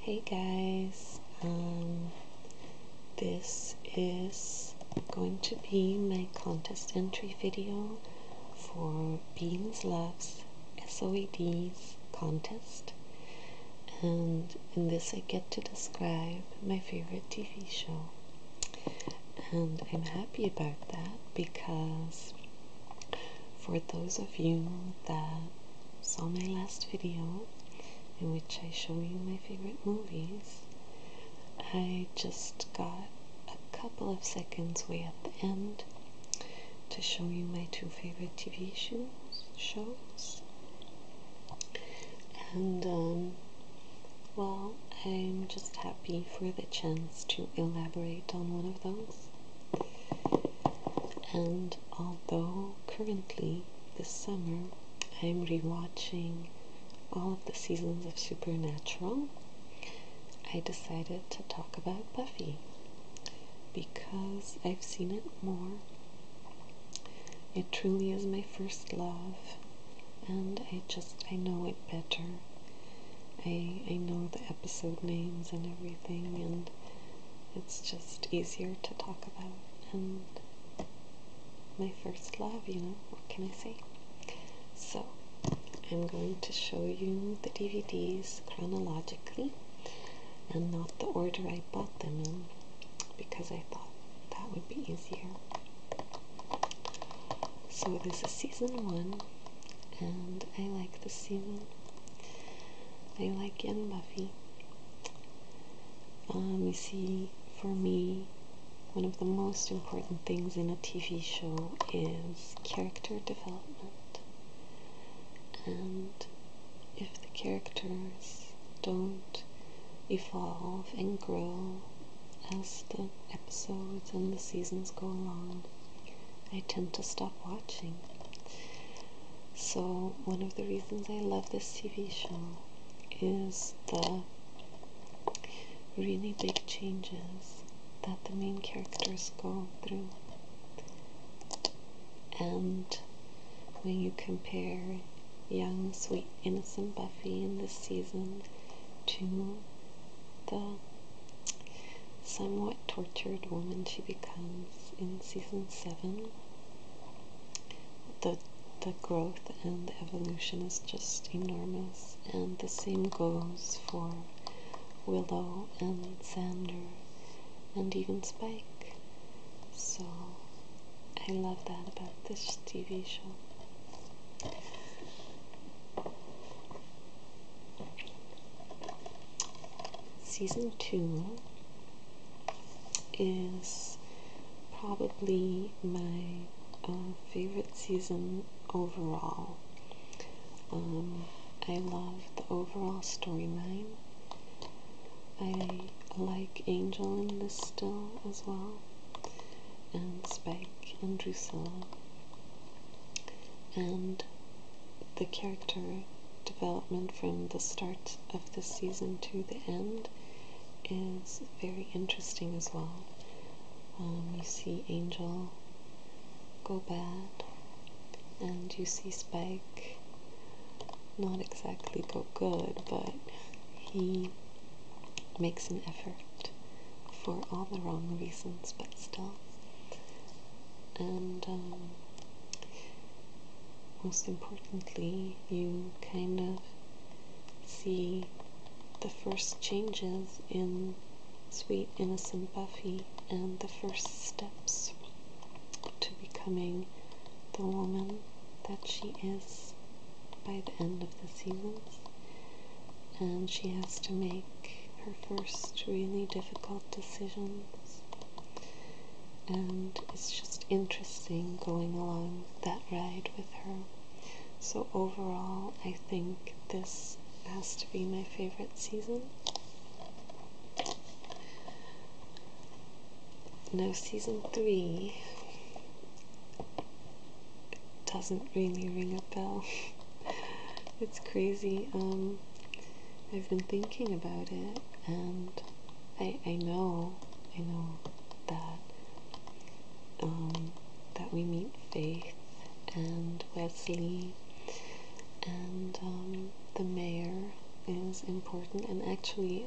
Hey guys, um, this is going to be my contest entry video for Beans Loves SOED's contest and in this I get to describe my favorite TV show and I'm happy about that because for those of you that saw my last video, in which I show you my favorite movies, I just got a couple of seconds way at the end to show you my two favorite TV shows. And, um, well, I'm just happy for the chance to elaborate on one of those. And although currently this summer I'm rewatching all of the seasons of Supernatural, I decided to talk about Buffy because I've seen it more. It truly is my first love, and I just I know it better. I I know the episode names and everything, and it's just easier to talk about. And my first love, you know, what can I say? So, I'm going to show you the DVDs chronologically and not the order I bought them in because I thought that would be easier. So, this is season one, and I like the season I like Young Buffy. Um, you see, for me, one of the most important things in a TV show is character development. And if the characters don't evolve and grow as the episodes and the seasons go along, I tend to stop watching. So, one of the reasons I love this TV show is the really big changes that the main characters go through. And when you compare young, sweet, innocent Buffy in this season to the somewhat tortured woman she becomes in season seven. The the growth and evolution is just enormous, and the same goes for Willow and Sander, and even Spike. So I love that about this TV show season two is probably my uh, favorite season overall. Um, I love the overall storyline. I like Angel in this still as well, and Spike and Drusilla and the character development from the start of the season to the end is very interesting as well. Um, you see Angel go bad, and you see Spike not exactly go good, but he makes an effort for all the wrong reasons, but still and um, most importantly, you kind of see the first changes in sweet, innocent Buffy and the first steps to becoming the woman that she is by the end of the seasons. And she has to make her first really difficult decisions. And it's just interesting going along that ride with her. So, overall, I think this has to be my favorite season. No, season three doesn't really ring a bell. it's crazy. Um, I've been thinking about it, and I I know I know that um, that we meet Faith and Wesley and um, the mayor is important, and actually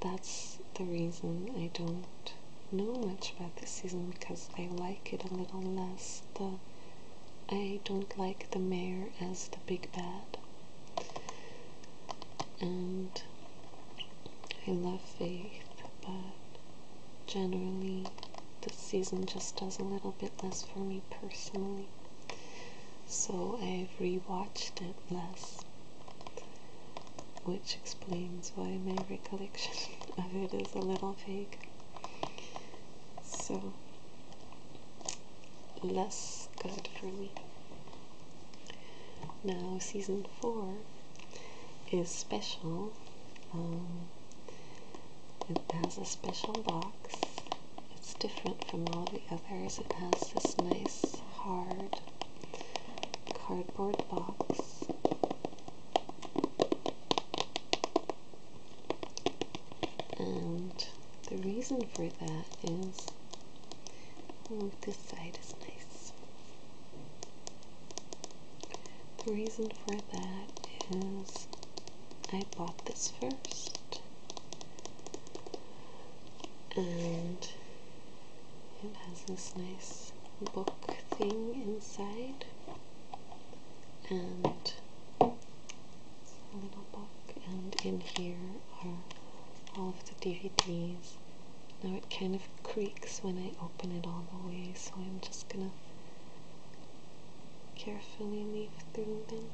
that's the reason I don't know much about this season because I like it a little less. I don't like the mayor as the big bad, and I love Faith, but generally the season just does a little bit less for me personally, so I've rewatched it less, which explains why my recollection of it is a little vague so less good for me. Now, season four is special. Um, it has a special box. It's different from all the others. It has this nice hard cardboard box. And the reason for that is oh, this side is nice. The reason for that is I bought this first, and it has this nice book thing inside and a little book, and in here are all of the DVDs. Now it kind of creaks when I open it all the way, so I'm just gonna carefully leaf through them.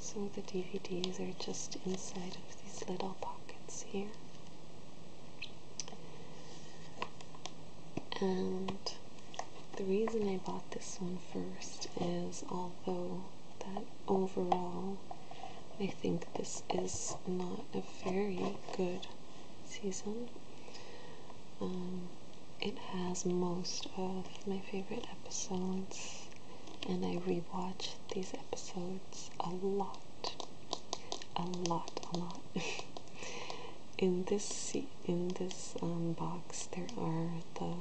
So the DVDs are just inside of these little pockets here. And the reason I bought this one first is although that overall I think this is not a very good season, um, it has most of my favorite episodes, and I rewatch these episodes a lot. A lot, a lot. in this season in this um, box there are the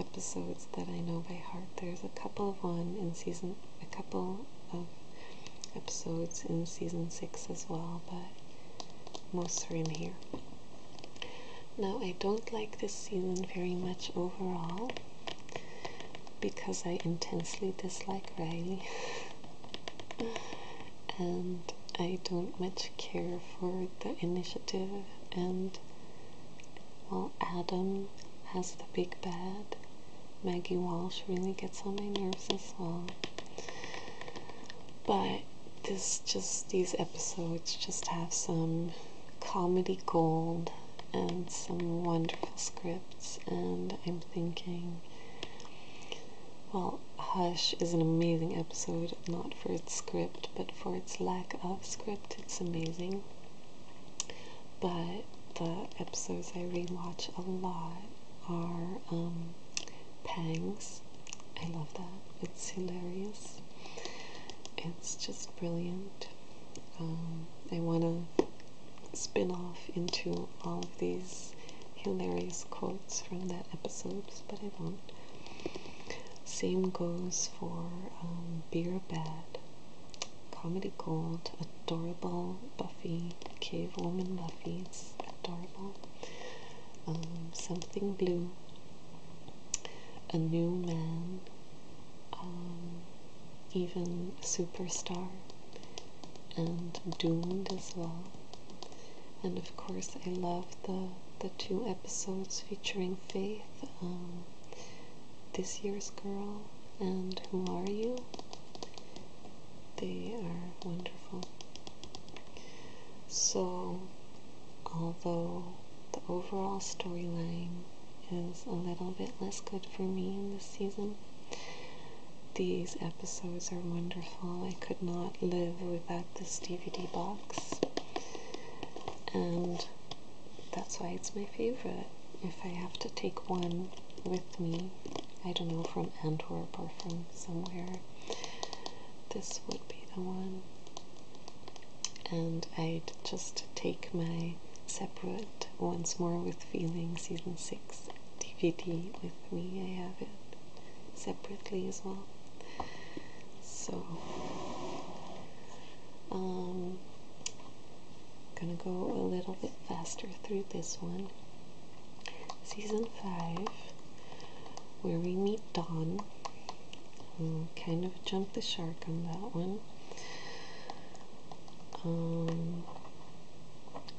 episodes that I know by heart. There's a couple of one in season, a couple of episodes in season six as well, but most are in here. Now I don't like this season very much overall because I intensely dislike Riley. and I don't much care for the initiative and while Adam has the big bad, Maggie Walsh really gets on my nerves as well. But this just these episodes just have some comedy gold and some wonderful scripts and I'm thinking well Hush is an amazing episode, not for its script, but for its lack of script. It's amazing. But the episodes I rewatch a lot are um, Pangs. I love that. It's hilarious. It's just brilliant. Um, I want to spin off into all of these hilarious quotes from that episode, but I won't. Same goes for um, Beer Bad, Comedy Gold, adorable Buffy, Cave Woman Buffy. It's adorable. Um, something Blue, A New Man, um, even Superstar, and Doomed as well. And of course, I love the the two episodes featuring Faith, um, This Year's Girl, and Who Are You? They are wonderful. So, although the overall storyline is a little bit less good for me in this season, these episodes are wonderful. I could not live without this DVD box, and that's why it's my favorite. If I have to take one with me, I don't know, from Antwerp or from somewhere, this would be the one. And I'd just take my separate Once More with Feeling Season 6 DVD with with me. I have it separately as well. So um gonna go a little bit faster through this one. Season five, where we meet Dawn. Um, kind of jumped the shark on that one. Um,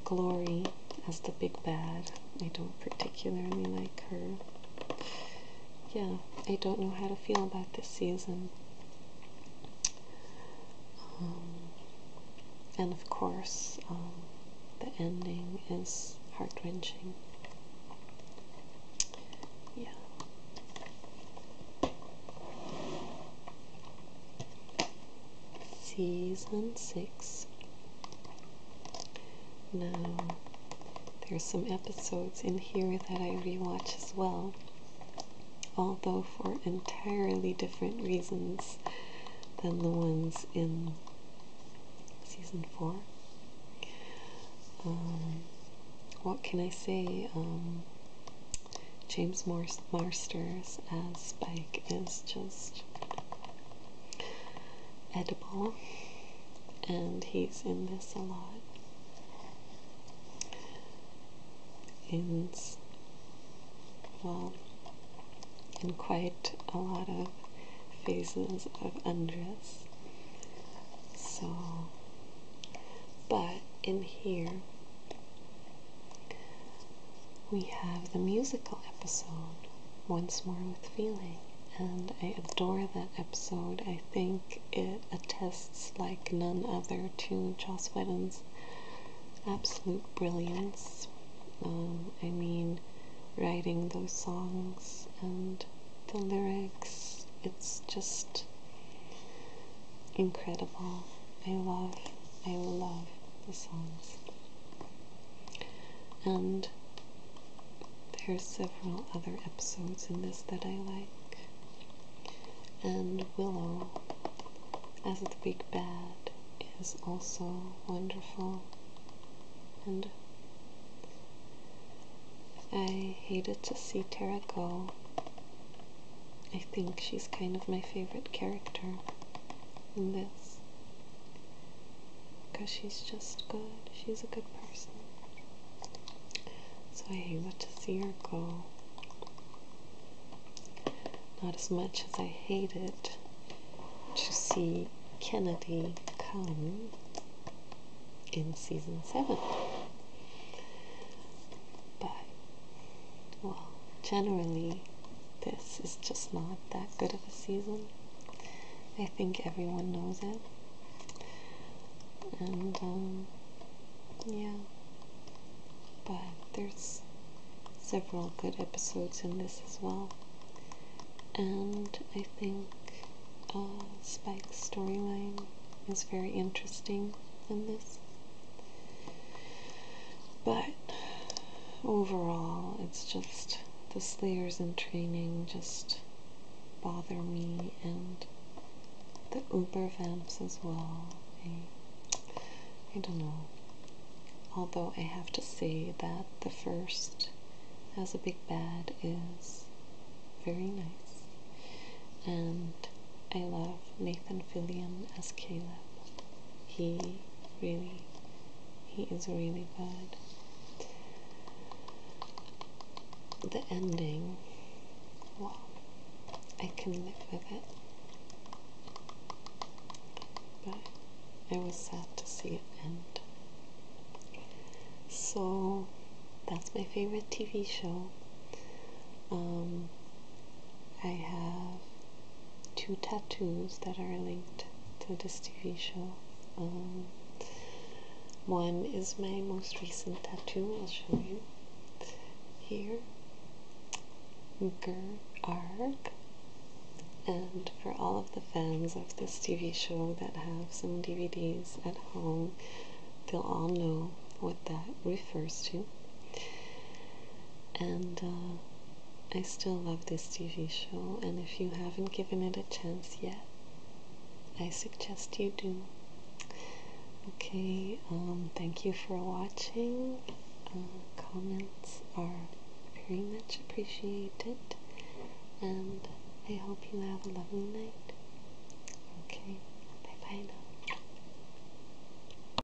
Glory as the big bad. I don't particularly like her. Yeah, I don't know how to feel about this season. Um, and of course, um, the ending is heart wrenching. Yeah season six. Now, there's some episodes in here that I rewatch as well, although for entirely different reasons than the ones in season four. Um, what can I say? Um, James Marsters as Spike is just edible, and he's in this a lot. In well, in quite a lot of phases of undress. So, but in here, we have the musical episode, Once More with Feeling, and I adore that episode. I think it attests like none other to Joss Whedon's absolute brilliance. Um, I mean, writing those songs and the lyrics, it's just incredible. I love, I love the songs. And there's several other episodes in this that I like. And Willow, as the big bad, is also wonderful. And I hated to see Tara go. I think she's kind of my favorite character in this because she's just good. She's a good person. So I hate to see her go. Not as much as I hated to see Kennedy come in season seven. But well, generally, this is just not that good of a season. I think everyone knows it. And, um, yeah. But there's several good episodes in this as well. And I think uh, Spike's storyline is very interesting in this. But overall, it's just the slayers in training just bother me and the uber vamps as well. I, don't know. Although I have to say that the first as a big bad is very nice and I love Nathan Fillion as Caleb. He really, he is really good. The ending, wow, I can live with it. But it was sad to see it end. So that's my favorite TV show. Um, I have two tattoos that are linked to this TV show. Um, one is my most recent tattoo, I'll show you here. Gerarg. And for all of the fans of this TV show that have some DVDs at home, they'll all know what that refers to. And uh, I still love this TV show, and if you haven't given it a chance yet, I suggest you do. Okay, um, thank you for watching. Uh, comments are very much appreciated, and I hope you have a lovely night. Okay, bye bye